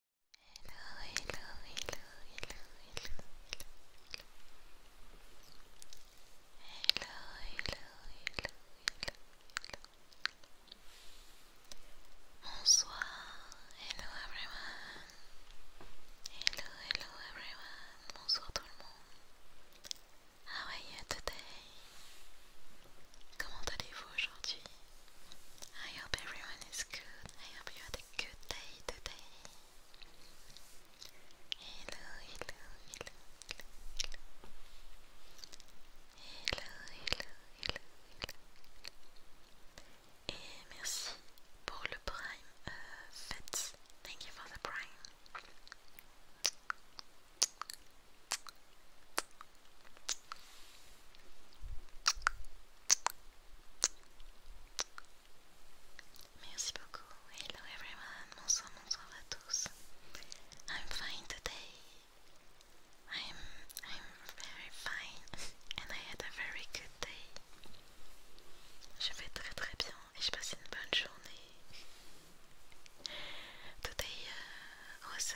hello, hello, hello, hello, hello, hello, hello, hello, Bonsoir, hello everyone, hello, hello everyone, bonsoir tout le monde. How are you today? Comment allez-vous aujourd'hui? I hope everyone is good. I hope you had a good day today. Hello, hello, hello, hello, hello. Hello, hello, hello, eh, hello. Et merci pour le prime, uh, Fats. Thank you for the prime. Merci beaucoup. Hello everyone. Bonsoir, bonsoir à tous. I'm fine today. I'm I'm very fine and I had a very good day. Je vais très très bien et je passe une bonne journée. Today est uh, was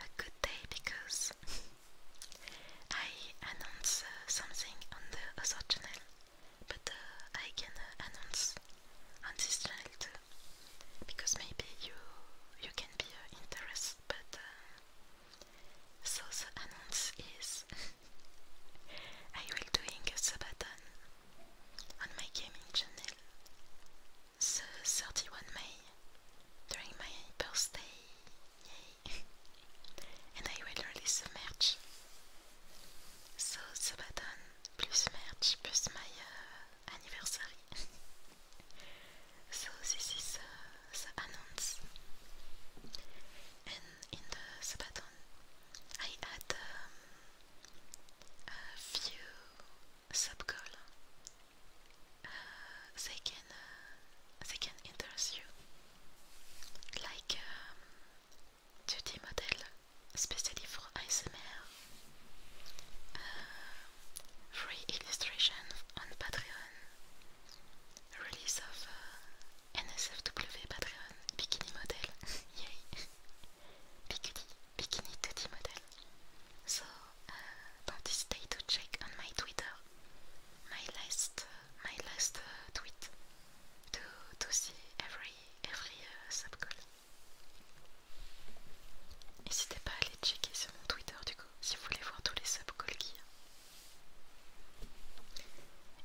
a good day because I announce uh, something on the other channel, but uh, I can uh, announce on this channel too because maybe you you can be uh, interested. But so the announce is I will doing a sabaton on my gaming channel the 31 May during my birthday and I will release merch. So Sabaton plus merch plus my euh, anniversary. so this is uh, the announce. And in the Sabaton, I add um, a few sub goals they can uh, they can interest you, like um, 2D model, especially for ASMR. Uh, free illustration on Patreon. Release of uh, NSFW Patreon bikini model. Yay! bikini, bikini 2 model. So uh, à to check on my Twitter, my last, uh, my last uh, tweet, to to see every every uh, N'hésitez pas à aller checker sur mon Twitter du coup, si vous voulez voir tous les subcalls qu'il y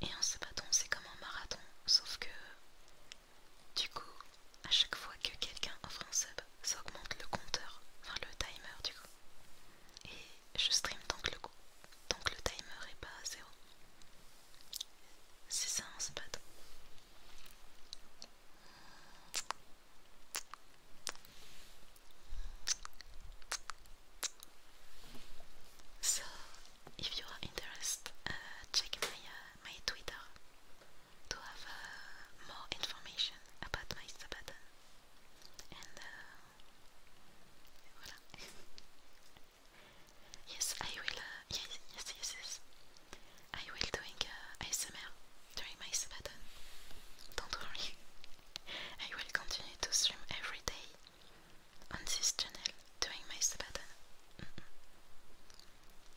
a. Et un sabaton, c'est comme un marathon, sauf que du coup, à chaque fois que quelqu'un offre un sub, ça augmente le compteur, enfin le timer du coup je stream donc le, coup, donc le timer est pas à zéro. C'est ça un hein, spot. So, if you are interested, uh, check my, uh, my Twitter to have plus uh, more information about my Sabbath and Voilà. yes, I will. Uh, yes, yes, yes, yes. I will doing uh, ASMR during my Sabaton. Don't worry. I will continue to stream every day on this channel during my Sabaton. Mm -mm.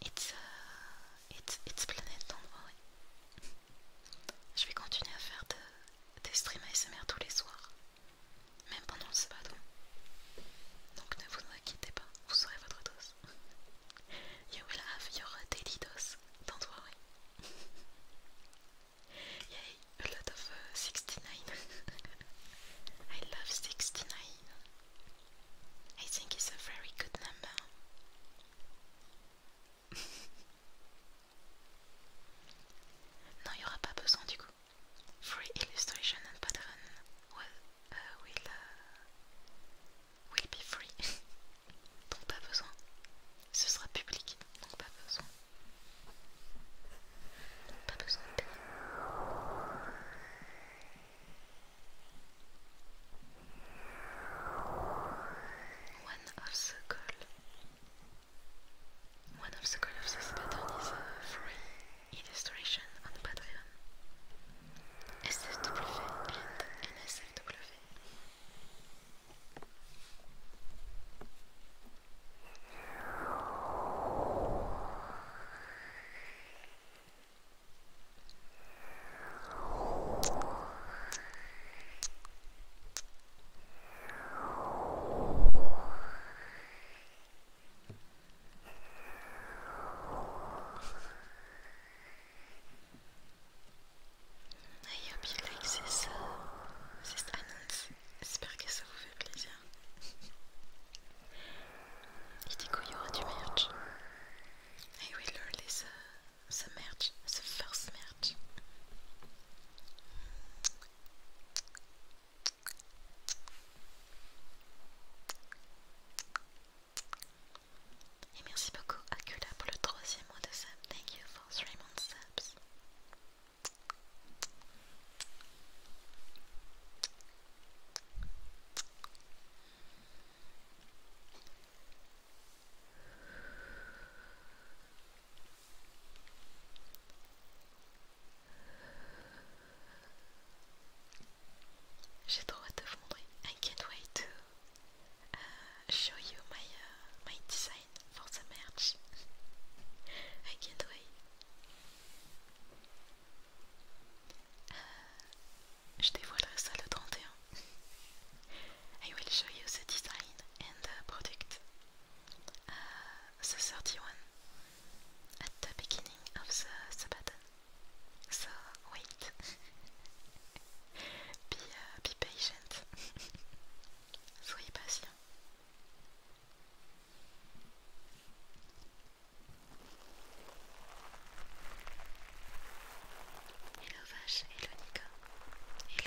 It's uh, it's it's planet. Don't worry. Je vais continuer à faire des streams ASMR tous les soirs, même pendant le sabbat. Donc ne vous inquiétez pas, vous serez votre dose. You will have your daily dose, don't worry. Yay, a lot of 69. Uh, I love 69. I think it's a very good number. non, il n'y aura pas besoin du coup. Free illustration and pattern uh, will, uh, will, be free. donc pas besoin. Ce sera public, donc pas besoin. Pas besoin One of the goal. One of the colors of this pattern is a free illustration on Patreon. SFW and NSFW. I hope you like this, uh, this annonce. J'espère que ça vous fait plaisir. Et du coup, il y aura du merch. I will release uh, the merch, the first merch. Et merci beaucoup à Kula pour le troisième mois de sub. Thank you for three months j'ai trop hâte de fondre, I can't wait to uh, show you my uh, my design for the merch. I can't wait. Uh, je dévoilerai ça le 31. I will show you the design and the product uh, the 31 at the beginning of the, Sabbath. So wait, uh, be, patient, soyez patient. Hello Vache, hello et le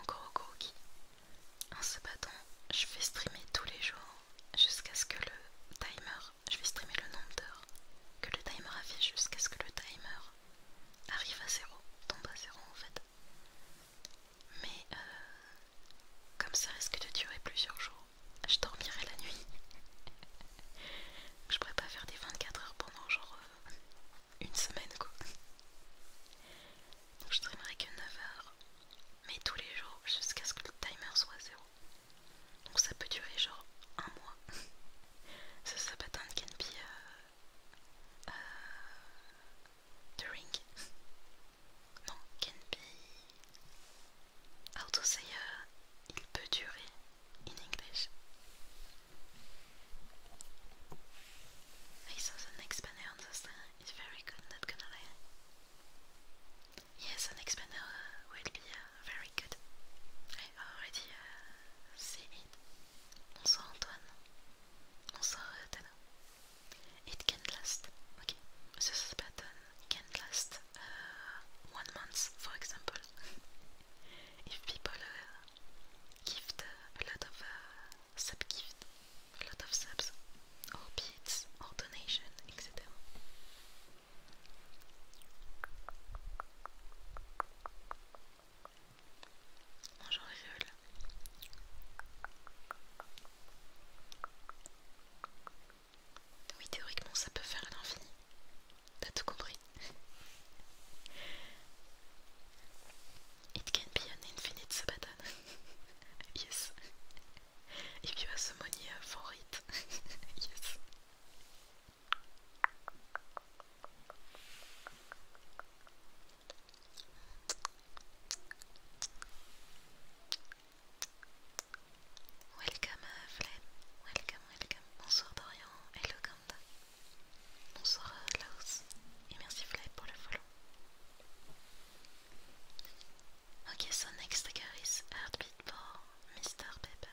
Encore au gros en ce battant, je vais streamer tous les jours jusqu'à ce que le timer, je vais streamer le nombre d'heures que le timer a fait jusqu'à ce que le timer arrive à zéro, tombe à zéro en fait. Mais euh, comme ça risque de durer plusieurs jours, je dormirai la nuit. je pourrais pas faire des 24 heures pendant genre euh, une semaine quoi. je dormirai que 9 heures, mais tous les jours jusqu'à ce que le timer soit zéro. Donc ça peut durer genre un mois. ça, ça peut uh, the ring non can be how to say uh, il peut in English I saw the next on the it's very good not gonna lie Yes, an expander will be uh, very good. I already uh, it. Bonsoir Antoine. Bonsoir Tana. Okay. So this pattern uh, one month, for example. if people uh, uh, a lot of uh, sub gift, a lot of subs, or beads, or donation, etc. Bonjour Oui, théoriquement, ça peut faire l'infini. T'as tout compris. It can be an infinite sabbaton. yes. If puis have the money uh, for it. yes. Welcome uh, welcome, welcome, bonsoir Dorian, hello Ganda, bonsoir Laos, et merci Flem pour le follow. Ok, so next trigger is Heartbeat pour Mr. Pepper.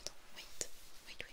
Attends, wait, wait, wait, wait.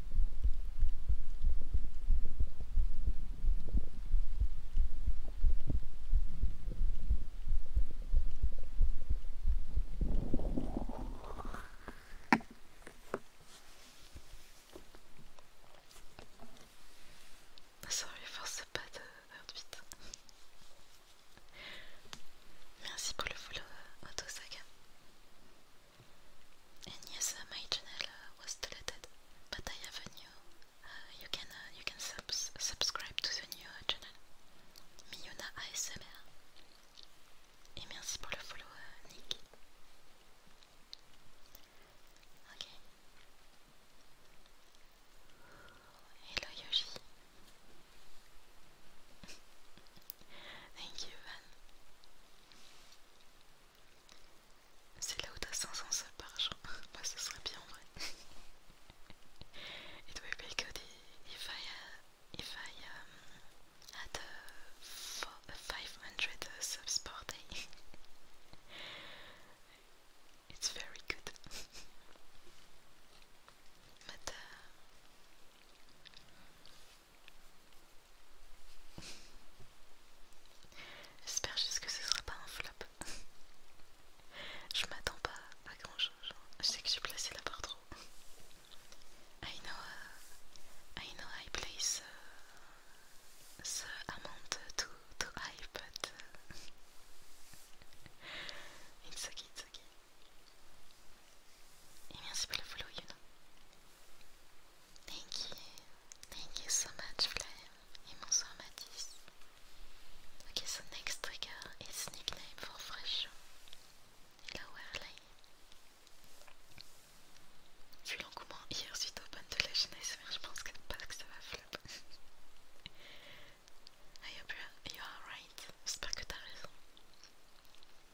s'en lui force pas de faire vite. Merci pour le auto-sac. And yes, uh, my channel uh, was deleted, but I have a new. Uh, you can you can subscribe to the new channel, Miyuna ASMR. Et merci pour le follow, Nick. Ok. Hello Yoshi. Thank you, Van. C'est là où tu as 500 salles par jour. Bah, ce serait bien en vrai. it would be good if I, had 500 subs per day. it's very good. but uh, J'espère juste que ce sera pas un flop. je m'attends pas à grand chose. Hein. Je sais que je suis placée la part trop. I know, uh, I know I place ce uh, the amount tout too high, but uh, it's okay, it's okay. Et le follow, you Thank you. Thank you so much, Flame. Et bonsoir, Mathis. Ok, so next trigger is nickname for Fresh. Hello, Harley. Vu l'engouement hier suite au ban de la chaîne mais je pense que pas que ça va flop. I hope you are right. J'espère que t'as raison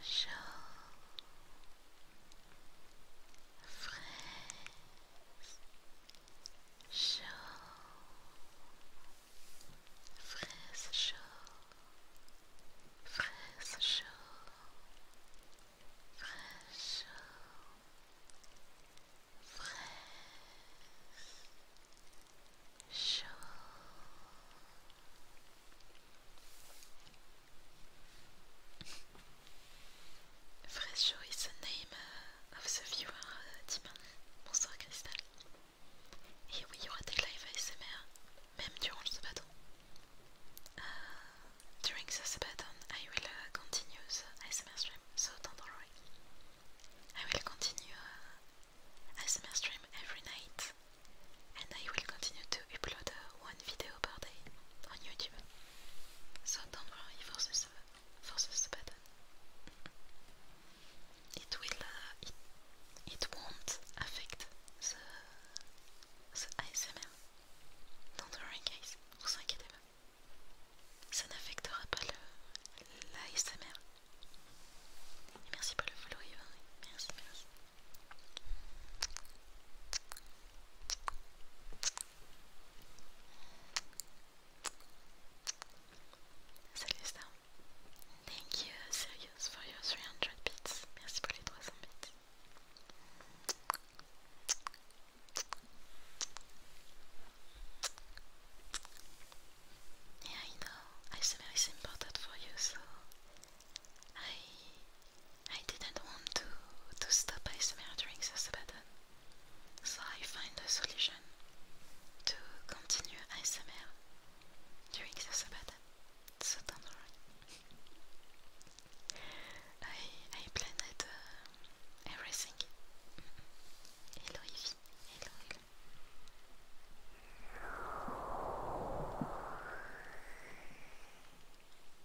chaud, fraise, chaud, fraise, chaud, fraise, chaud, fraise, chaud, fraise, chaud. Fresh is the name uh, of the viewer, uh, Diman. Bonsoir Cristal. Et oui, il y aura live ASMR, même durant le Sabaton. Uh, during the Sabaton, I will uh, continue the stream, so don't worry. I will continue uh, stream every night and I will continue to upload vidéo uh, one video per day on YouTube. So don't worry for pas, forcez uh, for bouton sub ne It will, affecter uh, it, it won't affect the, the ASMR. Don't worry guys, vous inquiétez pas. Ça n'affectera pas l'ASMR. Merci pour le follow Yvan, merci, merci. Thank you Sirius for your 300 bits. Merci pour les 300 bits. Yeah, I know. I very important for you, so I I didn't want to to stop ASMR during this button, so I find a solution to continue ASMR during this button. So don't worry. I I planned uh, everything. Hello Evie. Hello. hello.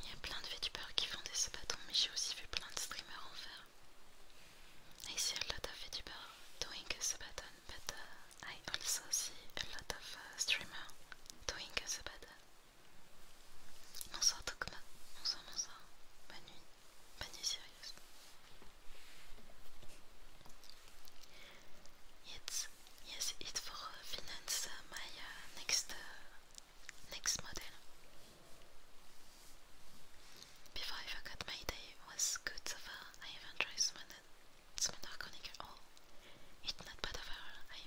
Il y a plein de VTubers qui font des sabatons, mais j'ai aussi vu plein de streamers en faire. I see a lot of VTubers doing a sabaton, but uh, I also see a lot of uh, streamers doing a sabaton. Bonsoir Tokma, bonsoir bonsoir, bonne nuit, bonne nuit Sirius. It's yes, it's for finance uh, äh, my next uh, next model. Before I forgot my day was good so far. I even tried Summoner, Summoner oh, Chronicle all. It's not bad overall. I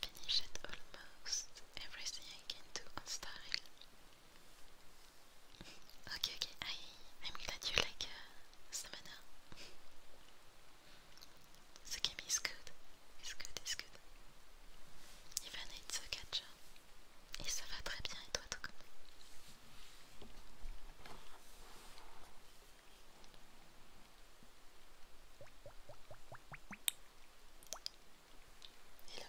finished almost everything I can do on style. Ok, ok, I'm glad you like uh, Samana. the game good. It's good. It's good. Hein. Et ça va très bien. Et toi, tout comme. Hello,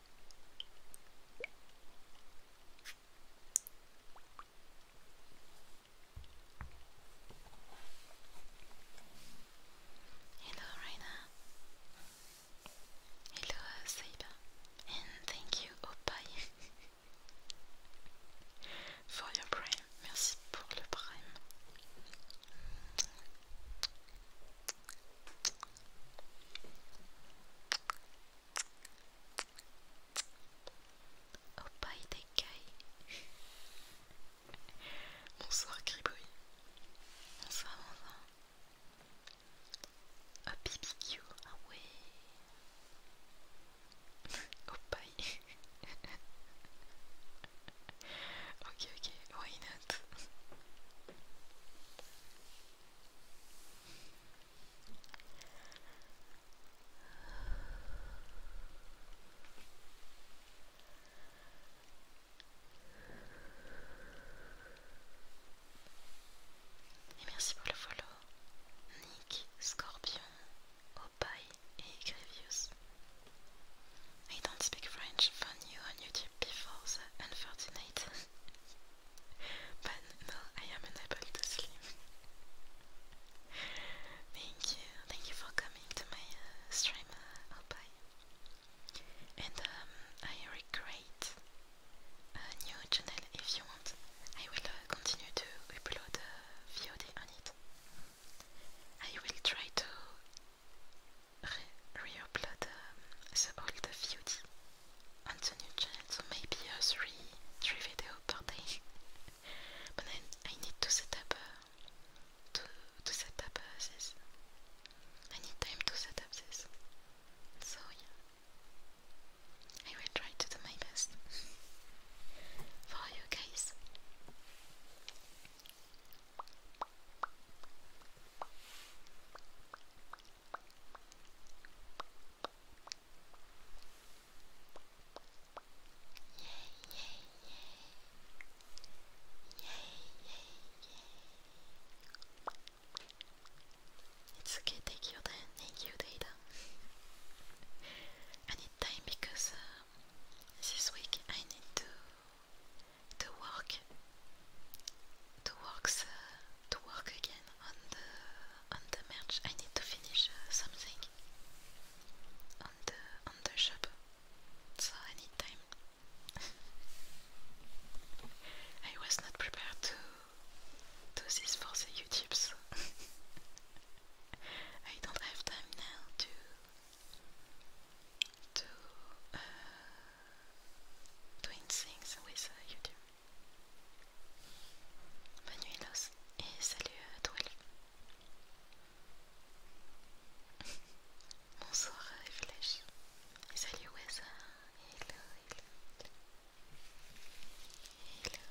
Hello, Raina. Hello, Saber. And thank you, Opie, for your prime. Merci pour le prime. Oh paille d'écaille Bonsoir Gribouille Bonsoir bonsoir Oh BBQ Ah ouais Oh paille Ok ok why not Et merci pour le follow. Nick, Scorpion, Opai et Grievous. I don't speak French, found you on YouTube before the unfortunate. But no, I am unable to sleep. thank you, thank you for coming to my uh, stream, uh, And um, I recreate a uh, new channel if you want. I will uh, continue to upload VOD on it. I will try to re reupload um, old VOD on the new channel, so maybe uh, three, three video per day. but I, need to set up uh, to to set up uh, this. I need time to set up this. So yeah. I will try to do my best for you guys. It's okay, take your time, take your data. I need time because uh, this week I need to to work to works uh, to work again on the on the merch. I need to finish uh, something on the on the shop, so I need time. I was not prepared to do this for the YouTubes. I don't have time now to to uh, doing things with YouTube. Bonne nuit salut à euh, Bonsoir euh, salut Wesa. Euh, hello, hello,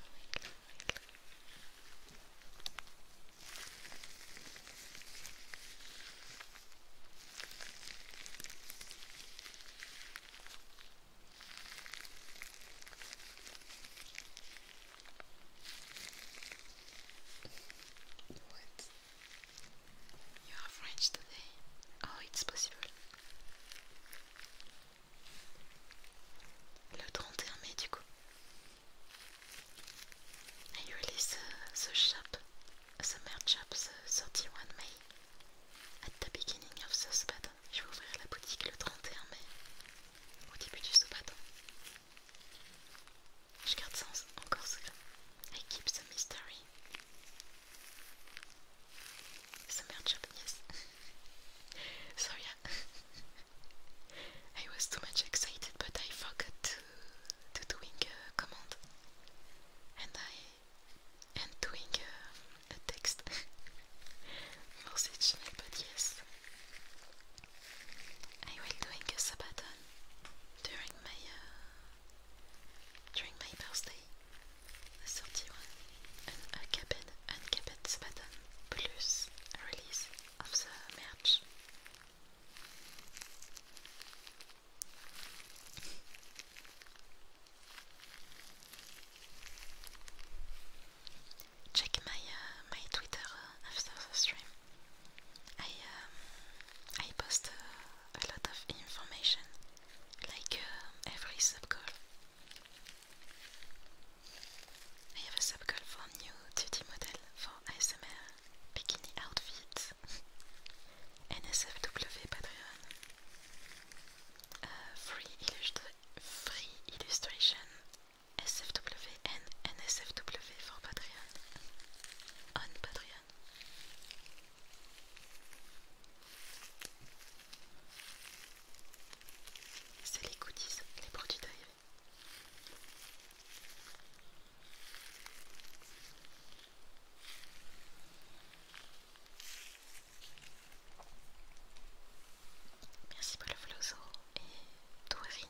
What? You are French today? Oh, it's possible. Le 31 mai, du coup. I release ce uh, the shop, merch shop, the 31 mai At the beginning of the je vais ouvrir la boutique le 31 mai, au début du Sobaton. Je garde ça encore secret. Je keep the mystery. Summer job, yes. Sorry, I was too much excited, but I forgot to, to doing a command, and I and doing a uh, text message, but yes, I will doing a Sabaton during my uh, during my birthday, the 31, an uncapped, uncapped Sabaton plus release of the merch. Check my uh, my Twitter uh, after the stream. I um, I post uh, a lot of information, like every sub goal. I have a sub goal for new 2D model for ASMR bikini outfits NSFW Patreon. Euh, free, free Illustration. SFWN NSFW for Patreon. On Patreon. C'est les goodies, les produits d'œil. Merci pour le flozo et tout est fini.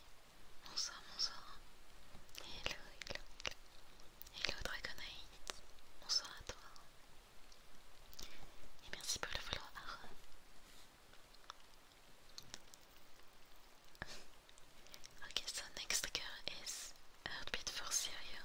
Bonsoir, bonsoir. Hello, hello, hello. Dragonite. Bonsoir à toi. Et merci pour le vouloir. ok so next girl is Heartbeat for cereal.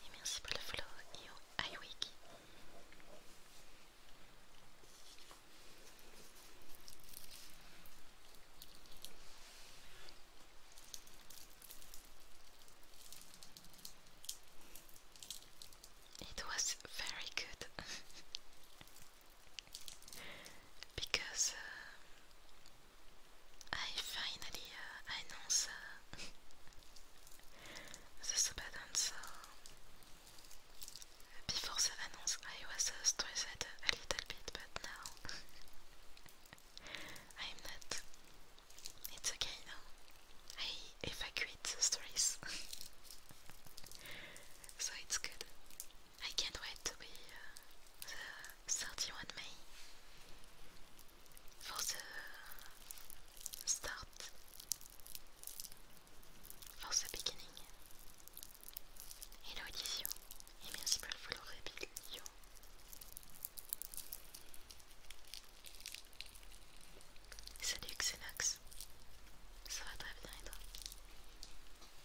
Et merci pour le follow, Io Iwiki. It was very good. because uh, I finally uh, announced uh, the Before the announce, I was uh, stressed a little bit, but now I'm not. It's okay now. I evacuate the stress, so it's good. I can't wait to be uh, the 31 May for the start, for the beginning. Hello Edithio et merci pour le follow Rebillio. Salut Xenox, ça va très bien et toi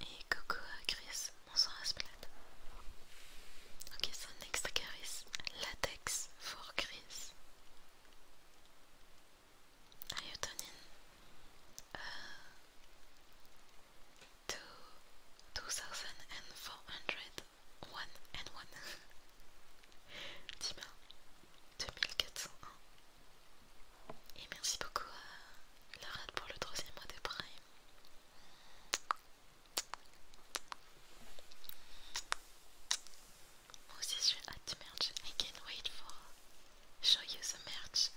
Et coucou à Chris, bonsoir Asplade. Ok, so next Chris, latex for Chris. Are you turning uh, 2,400 One and One. Dima 2401. Et merci beaucoup à Laura pour le troisième mois de Prime. Moi aussi je suis hâte merch. I can't wait for show you the merch.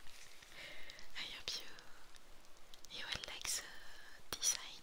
I hope you you will like the design.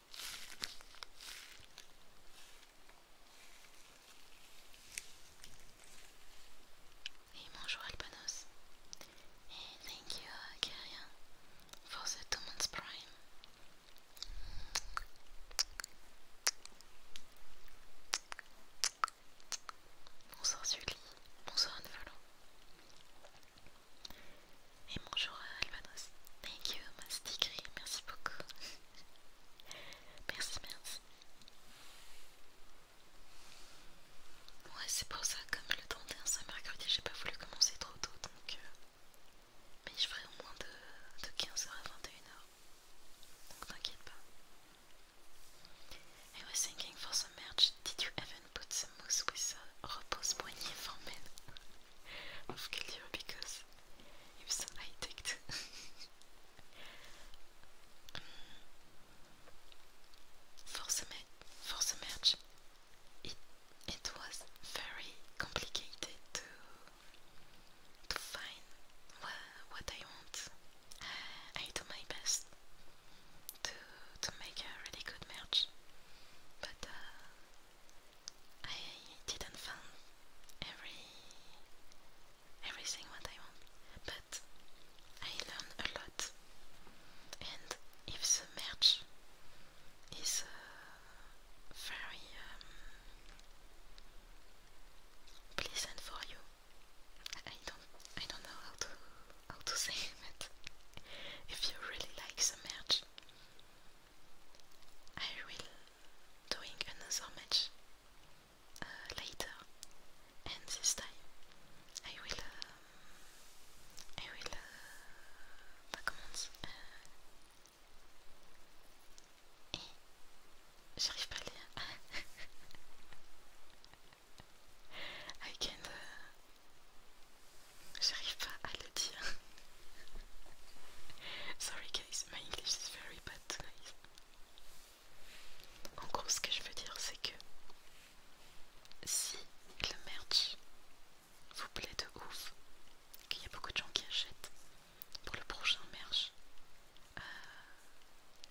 Et bonjour Alpanos. Et thank you uh, for the two months prime. Bonsoir Sully, bonsoir Anvelo. Et bonjour euh, Alvanos. Thank you, Mastigri. Merci beaucoup. merci, merci. Ouais, c'est pour ça, comme le 31 c'est mercredi, j'ai pas voulu commencer trop tôt donc. Euh, mais je ferai au moins de, de 15h à 21h. Donc t'inquiète pas. I was thinking for some merch, did you even put some mousse with a repose poignée for of Kildio because he so an addict. for, the for the merge, it, it was very complicated to, to find wha what I want. I do my best to, to make a really good merge, but uh, I didn't find every everything what I want, but I learned a lot. And if the merge is uh, very um, pleasant for you, I don't I don't know how to how to say it, if you really like the merge. I will doing another match uh, later, and this time I will um, I will uh, commence. Euh, I can. Uh, J'arrive pas à le dire. Sorry guys, my English is very bad tonight. En gros, ce que je veux dire, c'est que si le merch vous plaît de ouf, qu'il y a beaucoup de gens qui achètent pour le prochain merch, euh,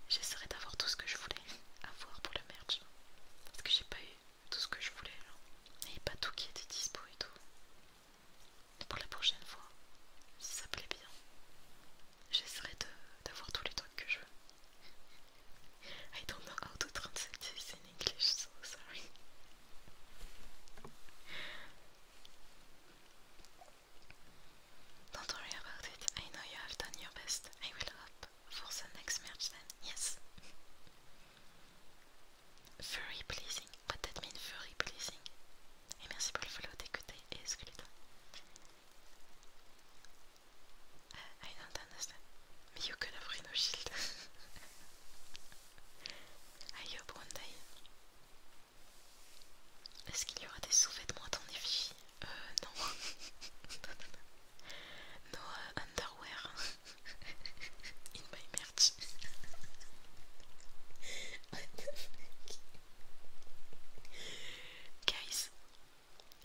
j'essaierai d'avoir tout ce que je voulais avoir pour le merch. Parce que j'ai pas eu tout ce que je voulais, genre. Et pas tout qui était dispo et tout pour la prochaine fois, si ça plaît bien, j'essaierai d'avoir tous les trucs que je veux. I don't know how to translate this in English, so sorry. Don't worry about it, I know you have done your best. I will hope for the next match then, yes. Furry pleasing. What that mean furry pleasing? Et merci pour le follow dès et excludant. Uh, I don't understand. Mais you could have Shield. I hope one day. Est-ce qu'il y aura des sous-vêtements à ton effigie Euh, non. non. no euh, underwear in my merch. Guys,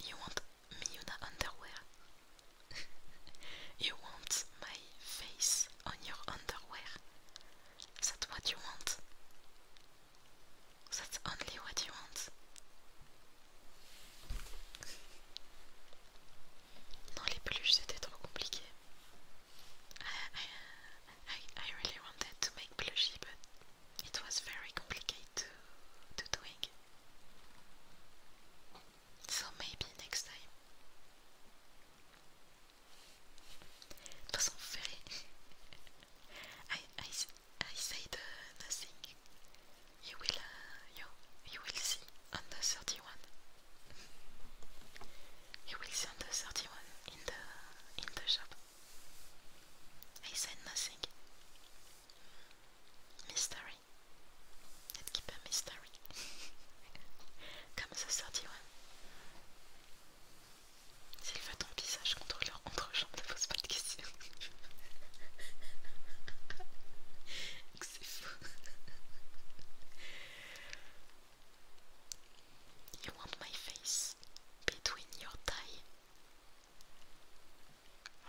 you want Miyuna underwear? you want my face on your underwear? That's what you want? That's only what you want? Non, les peluches c'était trop compliqué. I, I, really wanted to make plushie, but it was very complicated to, to doing. So maybe next time. Los enfer. I, I I said nothing. You will uh, you you will see under 31. he will see under 31 in the in the shop. He said nothing. Mystery. Let's keep a mystery. Comme the 31. S'il veut ton visage contre leur entrejambe, ne pose pas questions. C'est fou. You want my face between your thighs,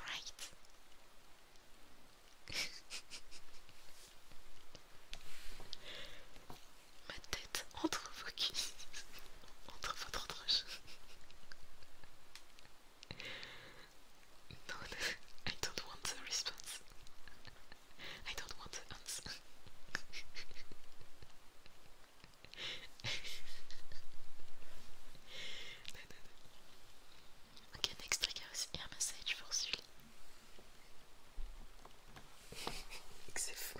Right. Ma tête entre vos cuisses, entre votre entrejeu. no, I don't want the response. I don't want to answer. Okay, next trigger is air massage for Sully. C'est fou.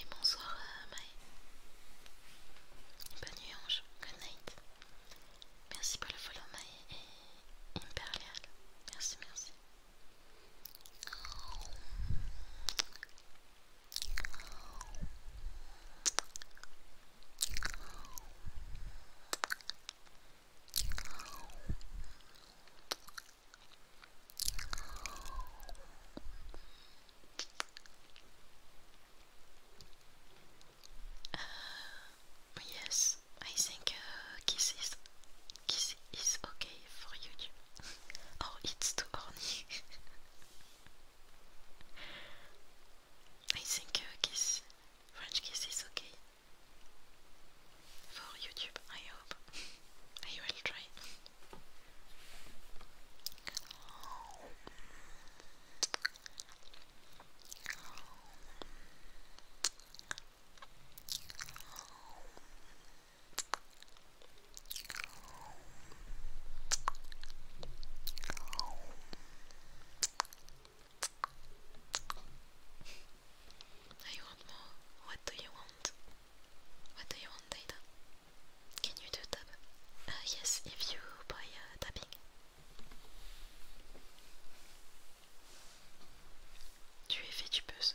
Et bonsoir euh, Maï Bonne nuit Ange, good night. Merci pour le follow Maë et Imperial. Merci, merci. Uh, yes, I think uh, kiss is kiss is okay for you. or oh, it's too horny. I think a uh, kiss, French kiss is okay for YouTube. I hope I will try. I want more. What do you want? What do you want, Data? Can you do tap? Uh, yes, if you buy uh, tapping. Tu es fait, tu buzz.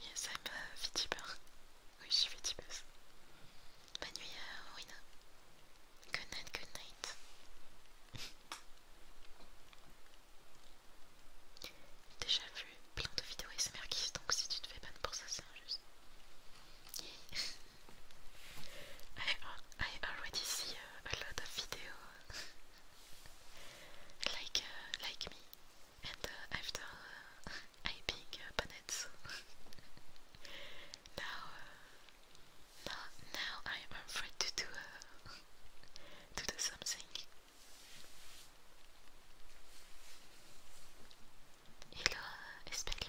Yes, I'm a euh, VTuber. Oui, je suis VTubeuse. Bonne nuit, euh, Rowena. Good night, good night. Déjà vu plein de vidéos c'est donc si tu te fais bonne pour ça, c'est injuste. Yeah. I, already see uh, a lot of videos. like, uh, like me. and after uh, uh, I pick uh, panetsu. now, uh, now, I am afraid to do, uh, to do something. Hello, uh, Exactly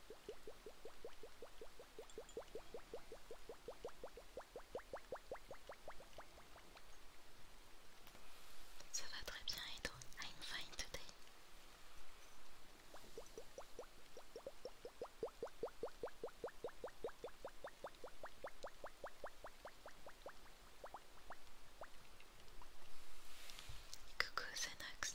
Ça va très bien et toi? I'm fine today. Coucou Zenox,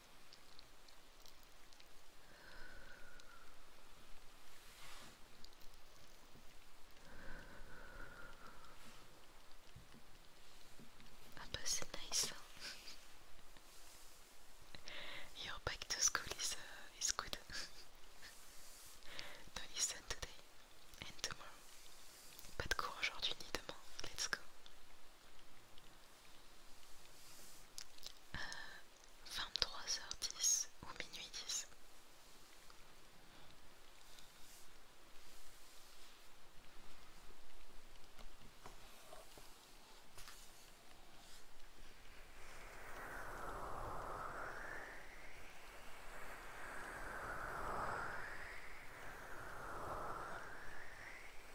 That was a nice Your back to school is uh, is good. no listen today and tomorrow. Pas de cours Let's go. 23h10 euh, ou minuit 10.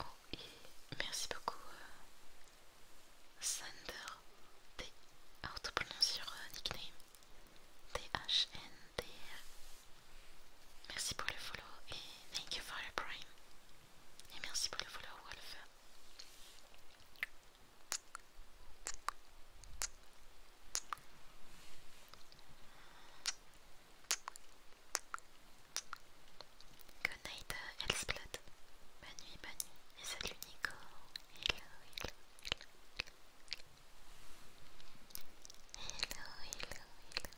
Oh, merci beaucoup, euh, Sander Thunder T. Alors, sur euh, nickname. t h n d Merci pour le follow et thank you for the prime. Et merci pour le follow, Wolf. Good night, uh, Bonne nuit, bonne nuit. Et salut, Nico. Hello, hello. Hello, hello, hello.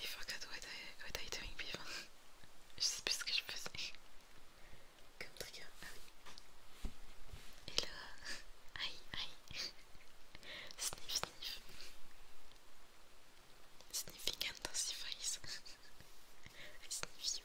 Il faut what I, what I une before. je sais plus ce que je faisais. Comme trigger, ah oui. Hello. Aïe, aïe. sniff, sniff. Sniffy intensifies. I sniff you.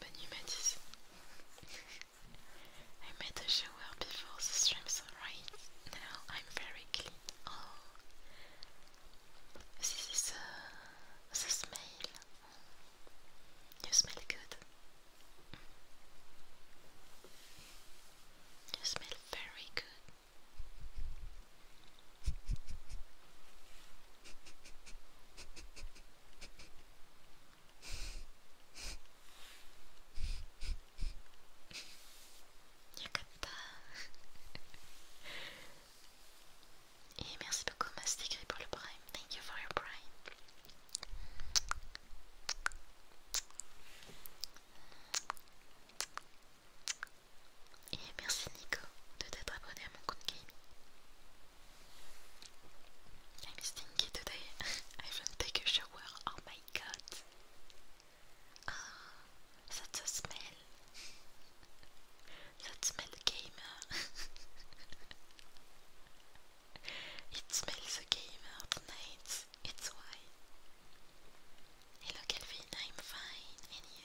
Bonne nuit Mathis. I made a shower before the stream, so right now I'm very clean. Oh, this is uh, the smell. You smell good. You smell very good. Et merci beaucoup Mastigri pour le prime. Thank you for your prime. Et merci Nico de t'être abonné à mon compte gaming. I'm stinky today. I even take a shower. Oh my god. Oh, ah, a smell. That smell gamer. it smells a gamer tonight. It's why. Hello Kelvin, I'm fine, and you?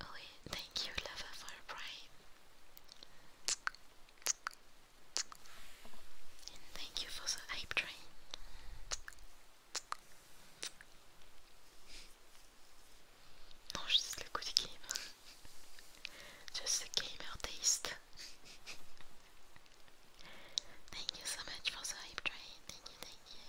Oh, yeah. thank you, lover, for a thank you for the hype train. Non, juste le coup game. just the gamer taste. thank you so much for the hype train. Thank you, thank you.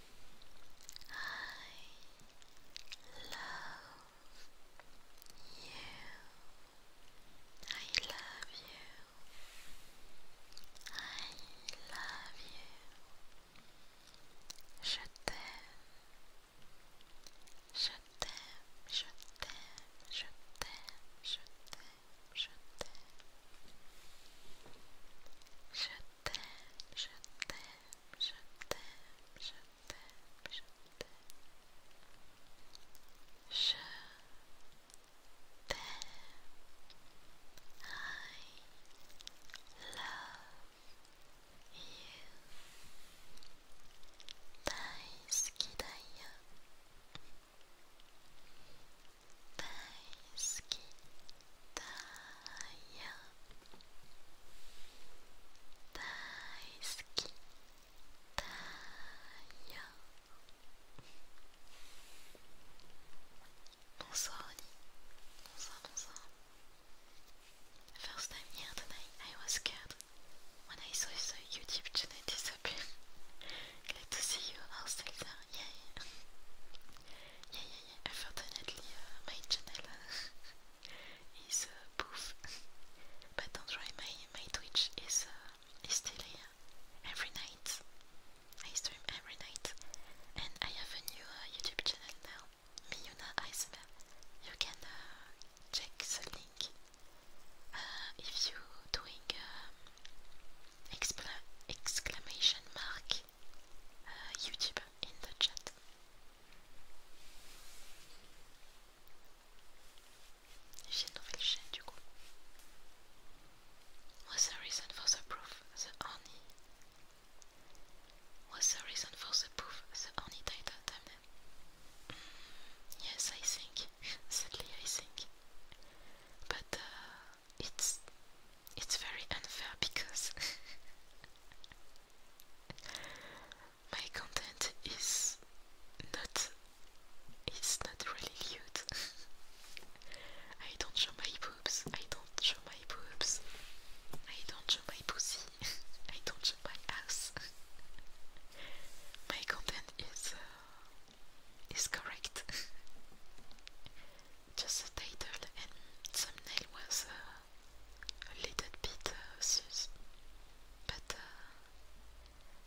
I love you. I love you. I love you. Je t'aime. Je t'aime. Je t'aime. Je t'aime. Je t'aime. Je t'aime. Je je t'aime, je t'aime, je t'aime, je t'aime. Je t'aime. I love you. 大好きだよ大好きだよ bonsoir Annie bonsoir bonsoir first time here tonight I was scared when I saw the YouTube channel disappear glad to see you all yeah, yeah, yeah, yeah. Unfortunately, uh, my channel uh, is uh, but do my my Twitch is uh, is still here every night. I stream every night, and I have a new YouTube channel now, Miyuna ASMR. You can check the link if you doing um, exclamation mark uh, YouTube in the chat. J'ai une du coup. What's the reason for the proof? The honey. What's the reason for the proof? The honey damn it. yes, I think. Sadly, I think. But uh, it's it's very unfair because my content is not it's not really nude. I don't show my boobs. I don't show my boobs. I don't show my pussy. I don't show my ass. my content is uh, is correct just the title and thumbnail was uh, a little bit uh, sus, but uh,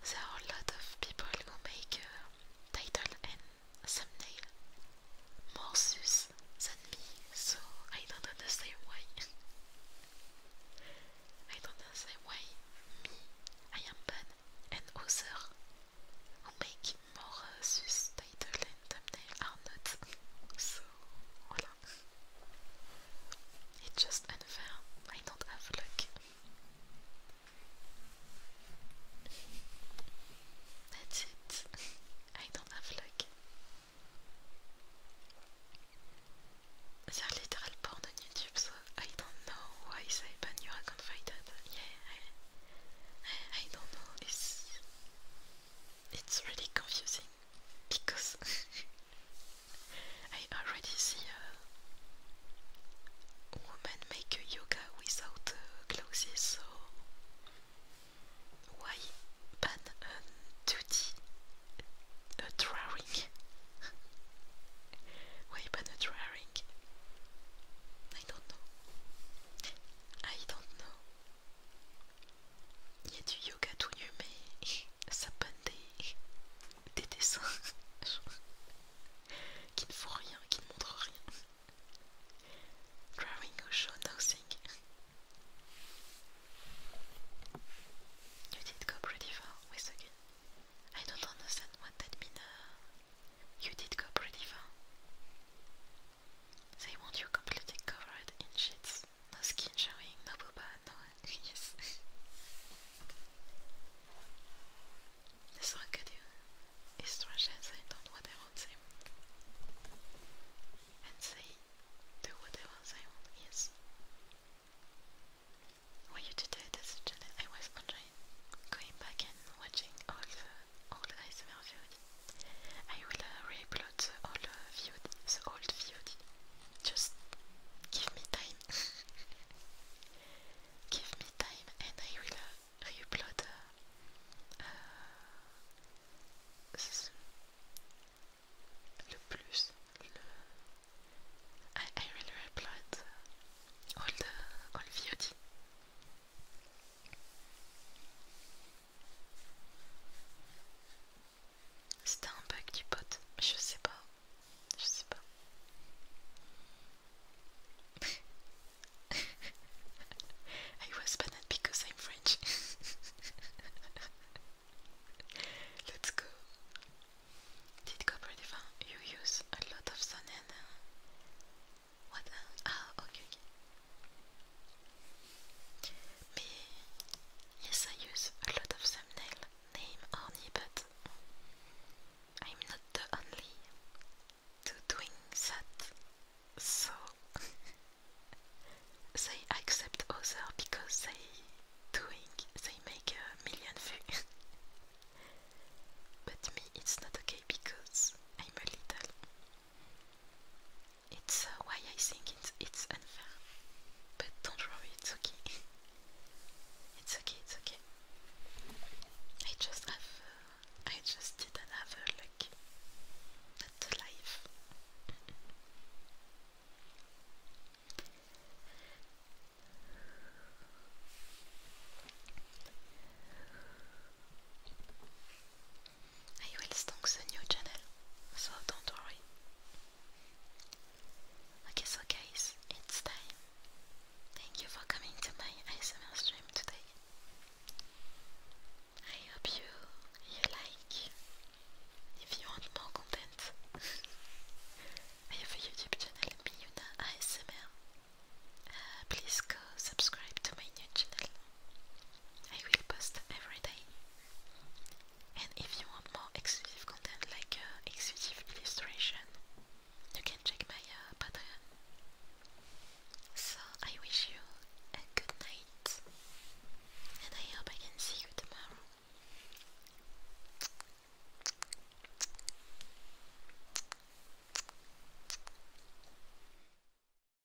there are a lot of people who make uh, title and thumbnail more sus than me, so I don't understand why. I don't understand why me, I am bad, and other who make more uh, this title and not, so voila. just unfair, I don't have luck. That's it, I don't have luck. they literal porn on YouTube, so I don't know why they ban your account Yeah, I don't know. It's, it's really confusing because I already see a woman make a yoga without uh, clothes, so why ban a duty a drawing? why ban a drawing? I don't know. I don't know. Il y a du yoga tout nu, mais ça panne des, dessins qui ne font rien, qui ne montrent rien. Drawing or show nothing. You did go pretty far with again. I don't understand what that means. you did go pretty far. They want you completely covered in sheets. No skin showing, no booba, no yes. this one could you is strange and what I want them. And they do whatever they want, yes. Why you today that's I was online going back and watching all the all I will uh, re the old uh, Just give me time. give me time, and I will uh, re uh, uh, plus. I, will re uh, all the all VOD. C'était I was banned because I'm French. Let's go. Did Copper Divine you use a lot of sun and uh, what Ah, ok, ok. yes, I use a lot of thumbnail name only, but I'm not the only to doing that. So, they accept other because they doing, they make a million views. but me, it's not okay because I'm a little. It's uh, why I think it's, it's unfair. But don't worry, it's okay. it's okay, it's okay. I just have, uh, I just did a look at the life. I will stalk the new channel, so don't worry. Okay, so guys, it's time. Thank you for coming to my ASMR stream today. I hope you you like. If you want more content, I have YouTube channel, Miyuna ASMR. Uh, please go subscribe to my new channel. I will post every day. And if you want more exclusive content like uh, exclusive illustration, you can check my uh, Patreon. So I wish you a good night, and I hope I can see you tomorrow.